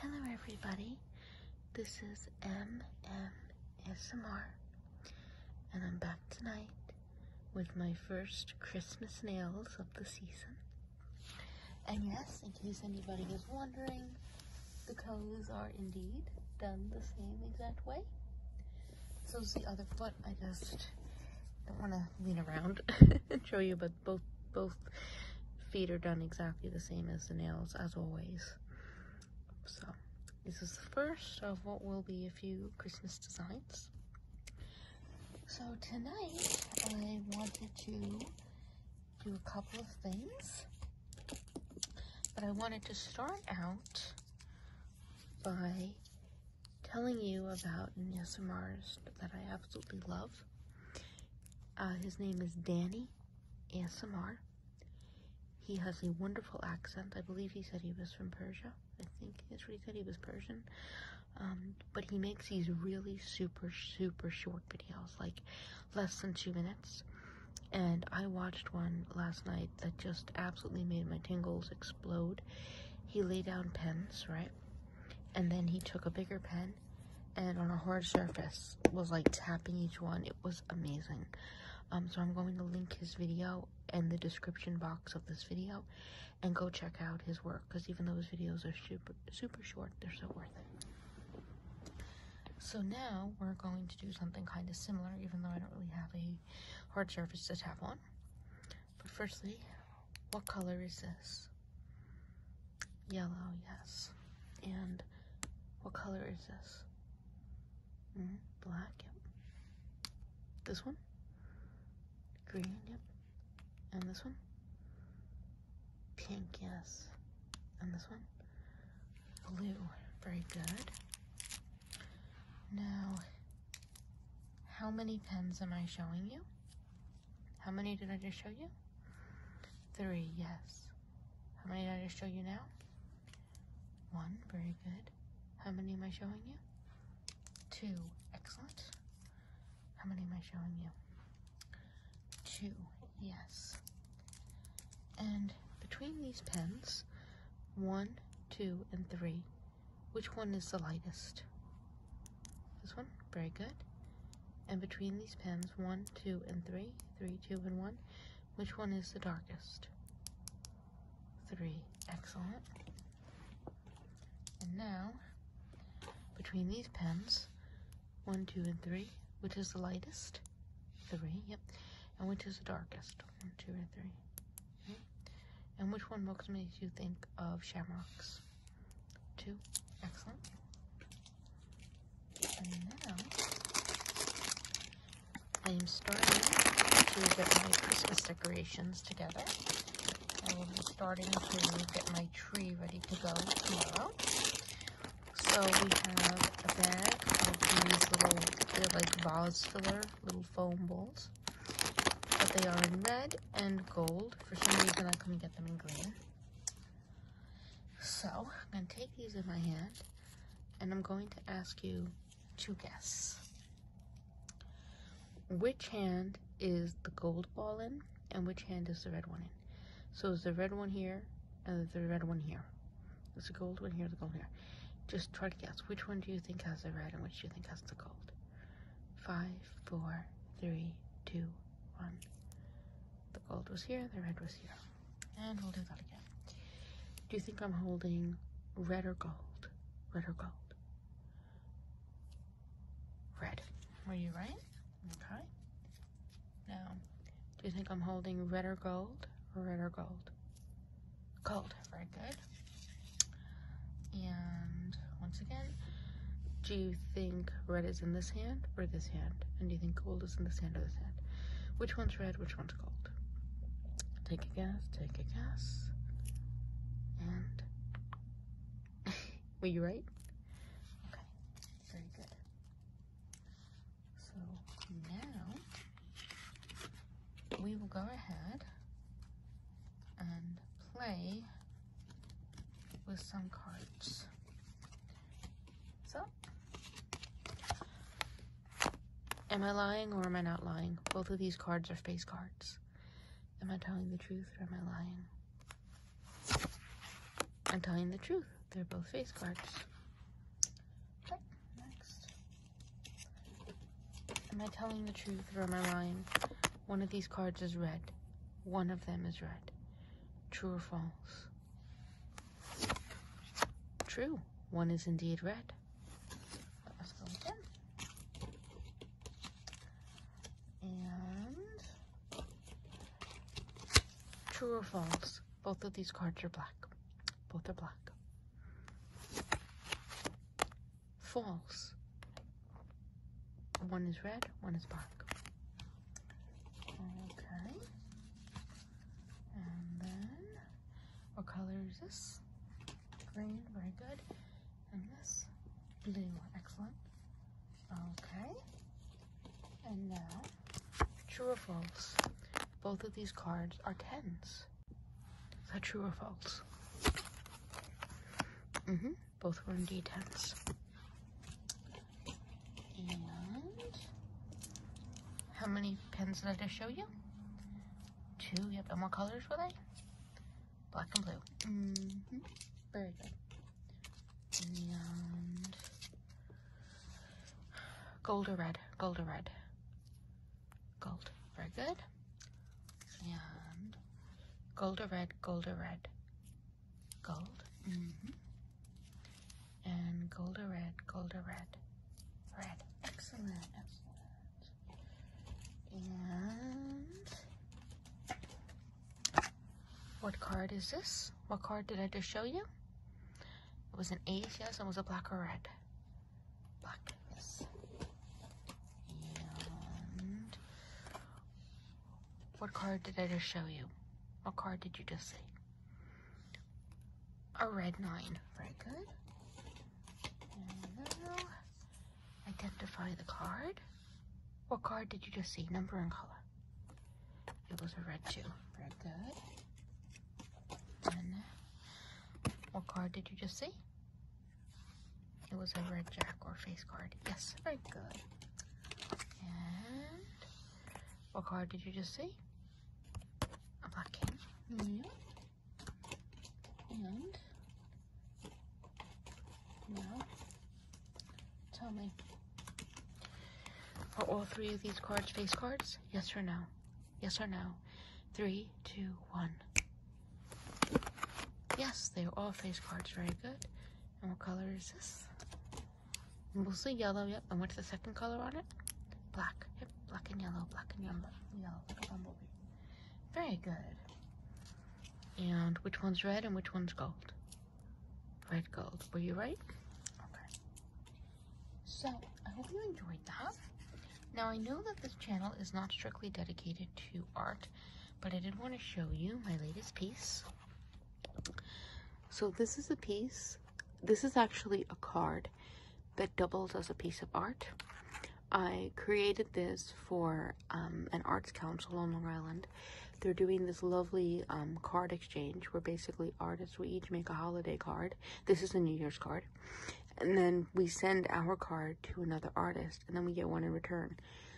Hello, everybody. This is MMSMR, and I'm back tonight with my first Christmas nails of the season. And yes, in case anybody is wondering, the colors are indeed done the same exact way. So is the other foot. I just don't want to lean around and show you, but both both feet are done exactly the same as the nails as always so this is the first of what will be a few christmas designs so tonight i wanted to do a couple of things but i wanted to start out by telling you about Nina Mars that I absolutely love. Uh, his name is Danny Ansamar. He has a wonderful accent. I believe he said he was from Persia. I think that's what he said. He was Persian. Um, but he makes these really super, super short videos, like less than two minutes. And I watched one last night that just absolutely made my tingles explode. He laid down pens, right? And then he took a bigger pen and on a hard surface was like tapping each one. It was amazing. Um, so I'm going to link his video in the description box of this video and go check out his work because even though his videos are super, super short, they're so worth it. So now we're going to do something kind of similar even though I don't really have a hard surface to tap on. But firstly, what color is this? Yellow, yes. And what color is this? Hmm, black, yep. This one? Green, yep. And this one? Pink, yes. And this one? Blue, very good. Now, how many pens am I showing you? How many did I just show you? Three, yes. How many did I just show you now? One, very good. How many am I showing you? Two, excellent. How many am I showing you? Two, yes. And between these pens, one, two, and three, which one is the lightest? This one, very good. And between these pens, one, two, and three, three, two, and one, which one is the darkest? Three, excellent. And now, between these pens, one, two, and three, which is the lightest? Three, yep. And which is the darkest? One, two, and three. And which one most makes you think of shamrocks? Two. Excellent. And now I am starting to get my Christmas decorations together. I will be starting to get my tree ready to go tomorrow. So we have a bag of these little, they're like vase filler, little foam balls. But they are in red and gold. For some reason I couldn't get them in green. So I'm going to take these in my hand and I'm going to ask you to guess. Which hand is the gold ball in and which hand is the red one in? So is the red one here and the red one here. Is the gold one here, the gold here. Just try to guess which one do you think has the red and which do you think has the gold. Five, four, three, two, one. The gold was here, the red was here. And we'll do that again. Do you think I'm holding red or gold? Red or gold? Red. Were you right? Okay. Now, do you think I'm holding red or gold? red or gold? Gold. Very good. And once again. Do you think red is in this hand or this hand? And do you think gold is in this hand or this hand? Which one's red, which one's gold? Take a guess, take a guess. And were you right? Okay, very good. So now we will go ahead and play with some cards. So, am I lying or am I not lying? Both of these cards are face cards. Am I telling the truth or am I lying? I'm telling the truth. They're both face cards. next. Am I telling the truth or am I lying? One of these cards is red. One of them is red. True or false? True. One is indeed red. And true or false? Both of these cards are black. Both are black. False. One is red, one is black. Okay. And then, what color is this? Green, very good. And this, blue, excellent. Okay. And now, true or false? Both of these cards are tens. Is that true or false? Mm-hmm. Both were in D10s. And how many pens did I just show you? Two. Yep. And what colors were they? Black and blue. Mm -hmm. Very good. And gold or red? Gold or red? Gold. Very good. And gold or red? Gold or red? Gold. Mm -hmm. And gold or red, gold or red. Red. Excellent, excellent. And what card is this? What card did I just show you? It was an ace, yes, and was a black or red? Black, what card did I just show you? What card did you just see? A red nine. Very good. identify the card. What card did you just see? Number and color. It was a red two. Very good. And what card did you just see? It was a red jack or face card. Yes, very good. And what card did you just see? A black king. And now tell me. Are all three of these cards face cards? Yes or no? Yes or no? Three, two, one. Yes, they are all face cards. Very good. And what color is this? Mostly yellow, yep. And what's the second color on it? Black, yep. Black and yellow, black and yellow, yellow, like bumblebee. Very good. And which one's red and which one's gold? Red gold. Were you right? Okay. So, I hope you enjoyed that. Now, I know that this channel is not strictly dedicated to art, but I did want to show you my latest piece. So this is a piece. This is actually a card that doubles as a piece of art. I created this for um, an arts council on Long Island. They're doing this lovely um, card exchange where basically artists, we each make a holiday card. This is a New Year's card. And then we send our card to another artist and then we get one in return.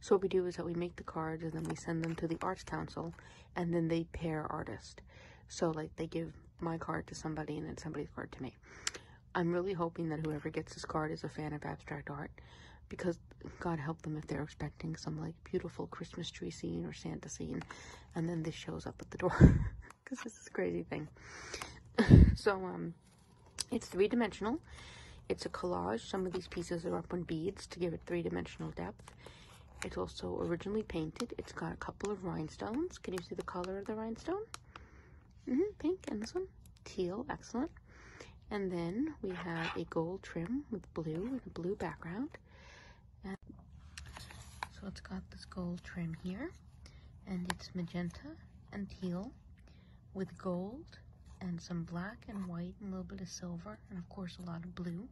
So what we do is that we make the cards and then we send them to the arts council and then they pair artist. So like they give my card to somebody and then somebody's card to me. I'm really hoping that whoever gets this card is a fan of abstract art because God help them if they're expecting some like beautiful Christmas tree scene or Santa scene and then this shows up at the door because this is crazy thing. so um it's three dimensional it's a collage. Some of these pieces are up on beads to give it three-dimensional depth. It's also originally painted. It's got a couple of rhinestones. Can you see the color of the rhinestone? Mm-hmm, pink, and this one? Teal, excellent. And then we have a gold trim with blue and a blue background. so it's got this gold trim here, and it's magenta and teal, with gold and some black and white and a little bit of silver and of course a lot of blue.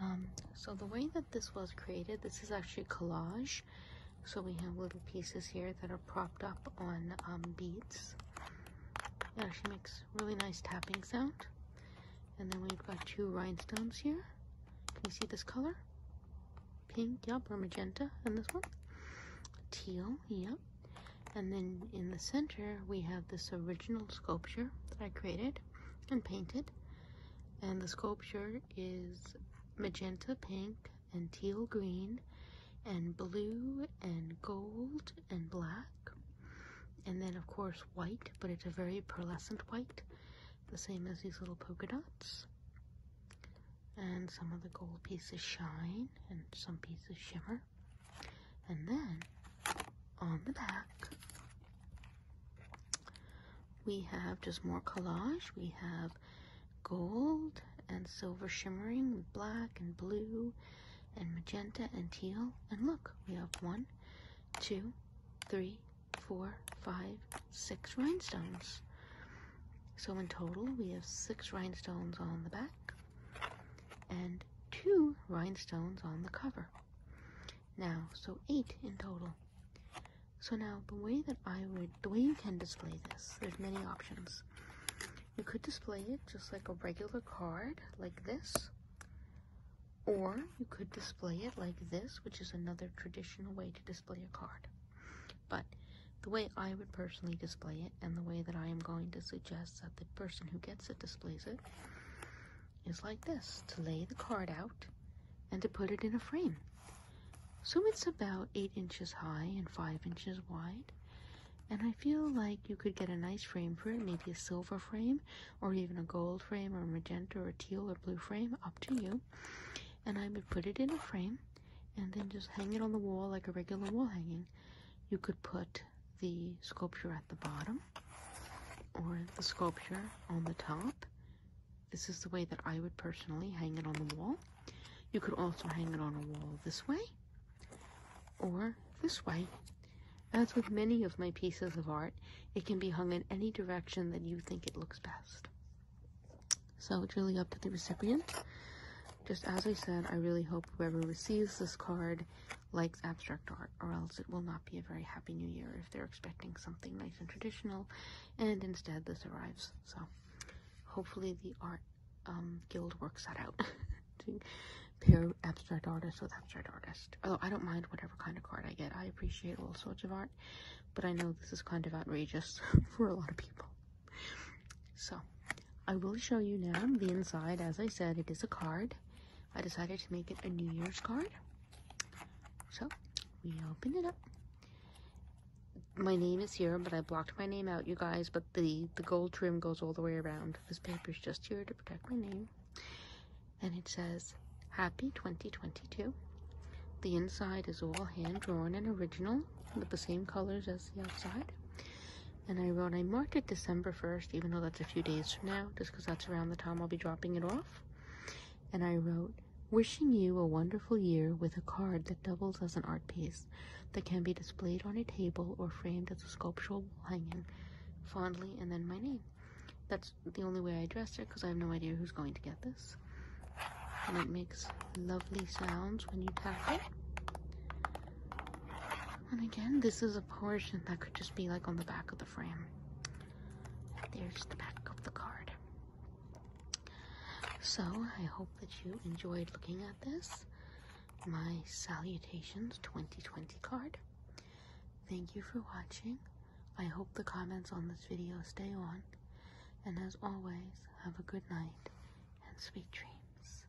Um, so the way that this was created, this is actually collage. So we have little pieces here that are propped up on um, beads. It actually makes really nice tapping sound. And then we've got two rhinestones here. Can you see this color? Pink, yep, or magenta. And this one? Teal, yep. And then in the center, we have this original sculpture that I created and painted. And the sculpture is magenta pink and teal green and blue and gold and black. And then of course white, but it's a very pearlescent white, the same as these little polka dots. And some of the gold pieces shine and some pieces shimmer. And then on the back, we have just more collage. We have gold and silver shimmering black and blue and magenta and teal. And look, we have one, two, three, four, five, six rhinestones. So in total, we have six rhinestones on the back and two rhinestones on the cover. Now, so eight in total. So now, the way that I would, the way you can display this, there's many options. You could display it just like a regular card, like this, or you could display it like this, which is another traditional way to display a card. But the way I would personally display it and the way that I am going to suggest that the person who gets it displays it is like this to lay the card out and to put it in a frame. So it's about 8 inches high and 5 inches wide. And I feel like you could get a nice frame for it, maybe a silver frame, or even a gold frame, or magenta, or teal, or blue frame, up to you. And I would put it in a frame and then just hang it on the wall like a regular wall hanging. You could put the sculpture at the bottom or the sculpture on the top. This is the way that I would personally hang it on the wall. You could also hang it on a wall this way or this way. As with many of my pieces of art, it can be hung in any direction that you think it looks best. So it's really up to the recipient. Just as I said, I really hope whoever receives this card likes abstract art, or else it will not be a very happy new year if they're expecting something nice and traditional, and instead this arrives. So, hopefully, the art um, guild works that out to pair abstract artist with abstract artist. Although I don't mind whatever kind of card I get, I appreciate all sorts of art, but I know this is kind of outrageous for a lot of people. So. I will show you now the inside. As I said, it is a card. I decided to make it a New Year's card. So we open it up. My name is here, but I blocked my name out, you guys. But the, the gold trim goes all the way around. This paper is just here to protect my name. And it says, Happy 2022. The inside is all hand drawn and original with the same colors as the outside. And I wrote, I marked it December 1st, even though that's a few days from now, just because that's around the time I'll be dropping it off. And I wrote, wishing you a wonderful year with a card that doubles as an art piece that can be displayed on a table or framed as a sculptural hanging fondly and then my name. That's the only way I addressed it because I have no idea who's going to get this. And it makes lovely sounds when you tap it. And again, this is a portion that could just be like on the back of the frame. There's the back of the card. So, I hope that you enjoyed looking at this. My Salutations 2020 card. Thank you for watching. I hope the comments on this video stay on. And as always, have a good night and sweet dreams.